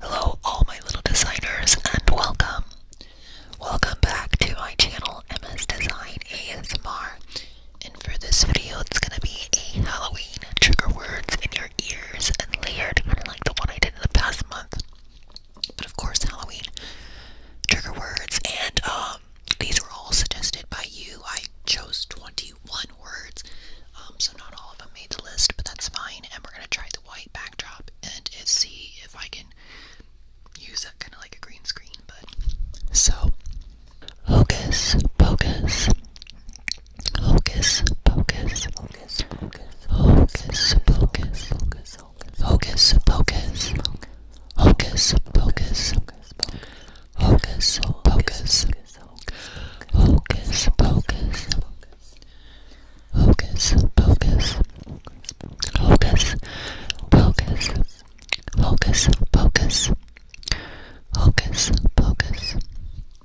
Hello, all my little designers, and welcome. Welcome back to my channel, Emma's Design ASMR. And for this video, it's going to be a Halloween trigger words in your ears and layered, kind of like the one I did in the past month. But of course, Halloween trigger words, and um, these were all suggested by you. I chose 21 words, um, so not all of them made the list, but that's fine. And we're gonna try the white backdrop and see if I can use that kind of like a green screen. But so, hocus pocus. Hocus pocus. Hocus pocus. Hocus pocus. Hocus pocus. Hocus pocus. Hocus pocus. Hocus pocus. Hocus pocus. Hocus pocus. Hocus pocus. Hocus pocus.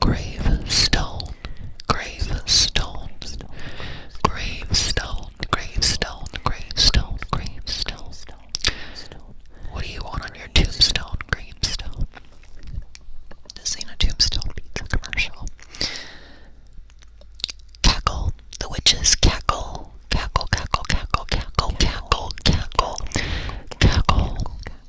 Gravestone, gravestone, gravestone, gravestone, gravestone, gravestone. What do you want on your tombstone, gravestone? This ain't a tombstone pizza commercial. Cackle, the witches cackle, cackle, cackle, cackle, cackle, cackle, cackle, cackle,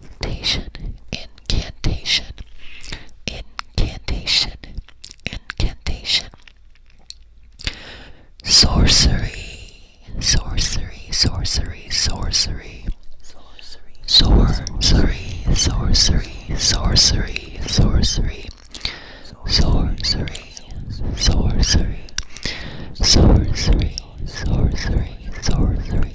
incantation, incantation, incantation, incantation, sorcery, sorcery, sorcery, sorcery, sorcery, sorcery, sorcery, sorcery, sorcery, sorcery, sorcery, sorcery, sorcery, sorcery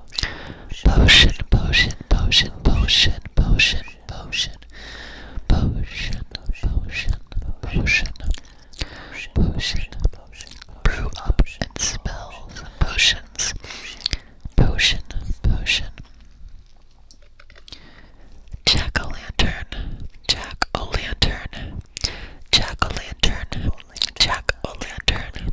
Potion, potion, potion, potion, potion, potion, potion, potion, potion, potion, brew up and spells and potions, potion, potion. Jack o' lantern, Jack o' lantern, Jack o' lantern, Jack o' lantern,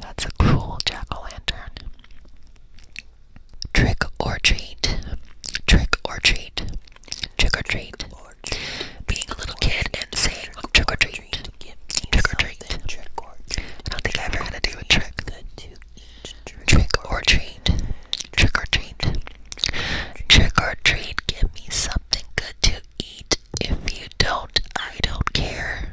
That's a cruel jack o' lantern. Trick or treat. Trick or treat. Trick or treat. Being a little kid and saying trick or treat. Trick or treat. I don't think I ever had to do a trick. Trick or treat. Trick or treat. Trick or treat. Give me something good to eat. If you don't, I don't care.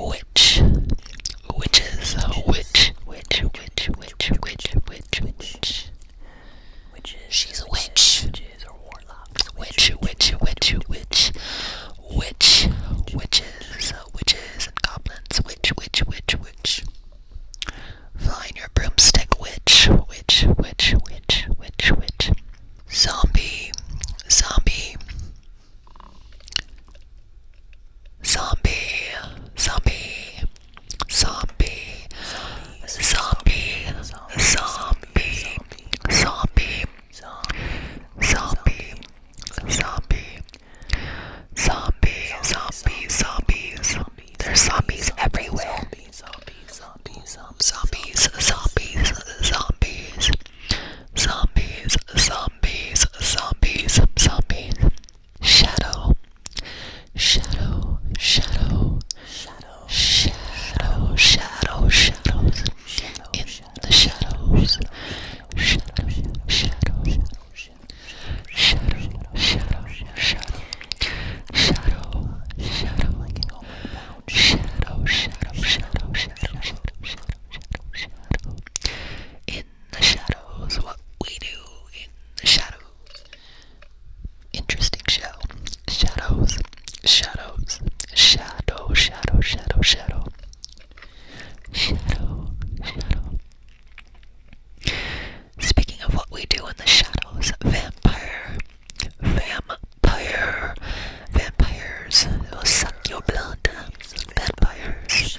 Witch. Witches. Witch. Witch. Witch. Witch. Witch. Witch. Witch. Witches. She's a witch. Witches or warlocks. Witch. Witch. Witch. Witch. Witch. Witches. Witches and goblins. Witch. Witch. Witch. Witch. Flying your broomstick. Witch. Witch. Witch. Witch. Witch. Witch. Zombie. Zombie. Zombie, zombie, zombie, zombie, zombie, zombie, zombie, zombie, zombie, zombie, zombie, zombies. There's zombies everywhere. Zombies, zombies, zombies, zombies, zombies. Zombies, zombies, zombies, zombies. Shadow, shadow, shadow, shadow, shadow, shadow, shadows. In the shadows, shadow, shadow, shadow, shadow, shadow. Shadow, shadow, like it all about shadow, shadow, shadow, shadow, shadow, shadow, shadow, shadow the shadows, what we do in the shadows. Interesting show. Shadows, shadows, shadow, shadow, shadow, shadow. Shadow, Speaking of what we do in the shadows, vampire, vampire, vampires will suck your blood. Vampires,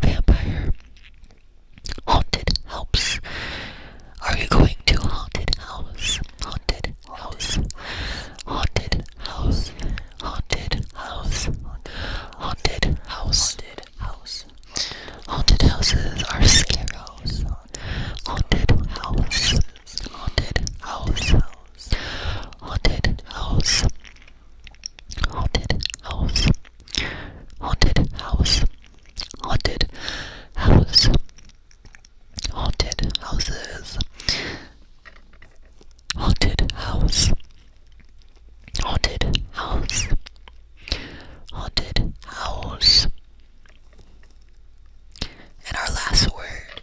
Vampire. Haunted house. Are you going to haunted house? Haunted house. Haunted house. Haunted house. Haunted house. Haunted house. Haunted houses are scary. Haunted house. Haunted house. Haunted house. Haunted house haunted house haunted house haunted house haunted houses haunted house haunted house haunted house and our last word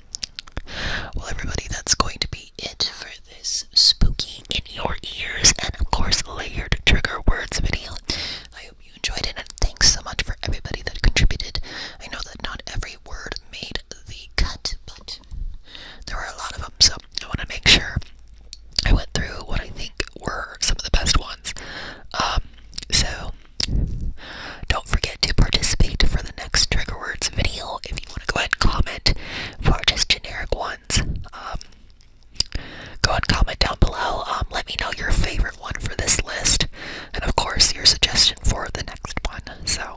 Well, everybody, that's going to be it for this spooky in your ears and, of course, layered trigger words video. I hope you enjoyed it, and thanks so much for everybody that contributed. I know that not every word made the cut, but there were a lot of them, so I want to make sure I went through what I think were some of the best ones. Um, so don't forget to participate for the next trigger words video if you want to go ahead and comment for just generic ones. Um, go ahead and comment down below. Um, let me know your favorite one for this list, and of course your suggestion for the next one. So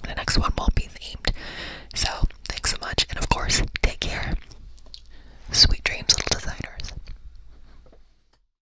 the next one won't be themed. So thanks so much, and of course take care. Sweet dreams, little designers.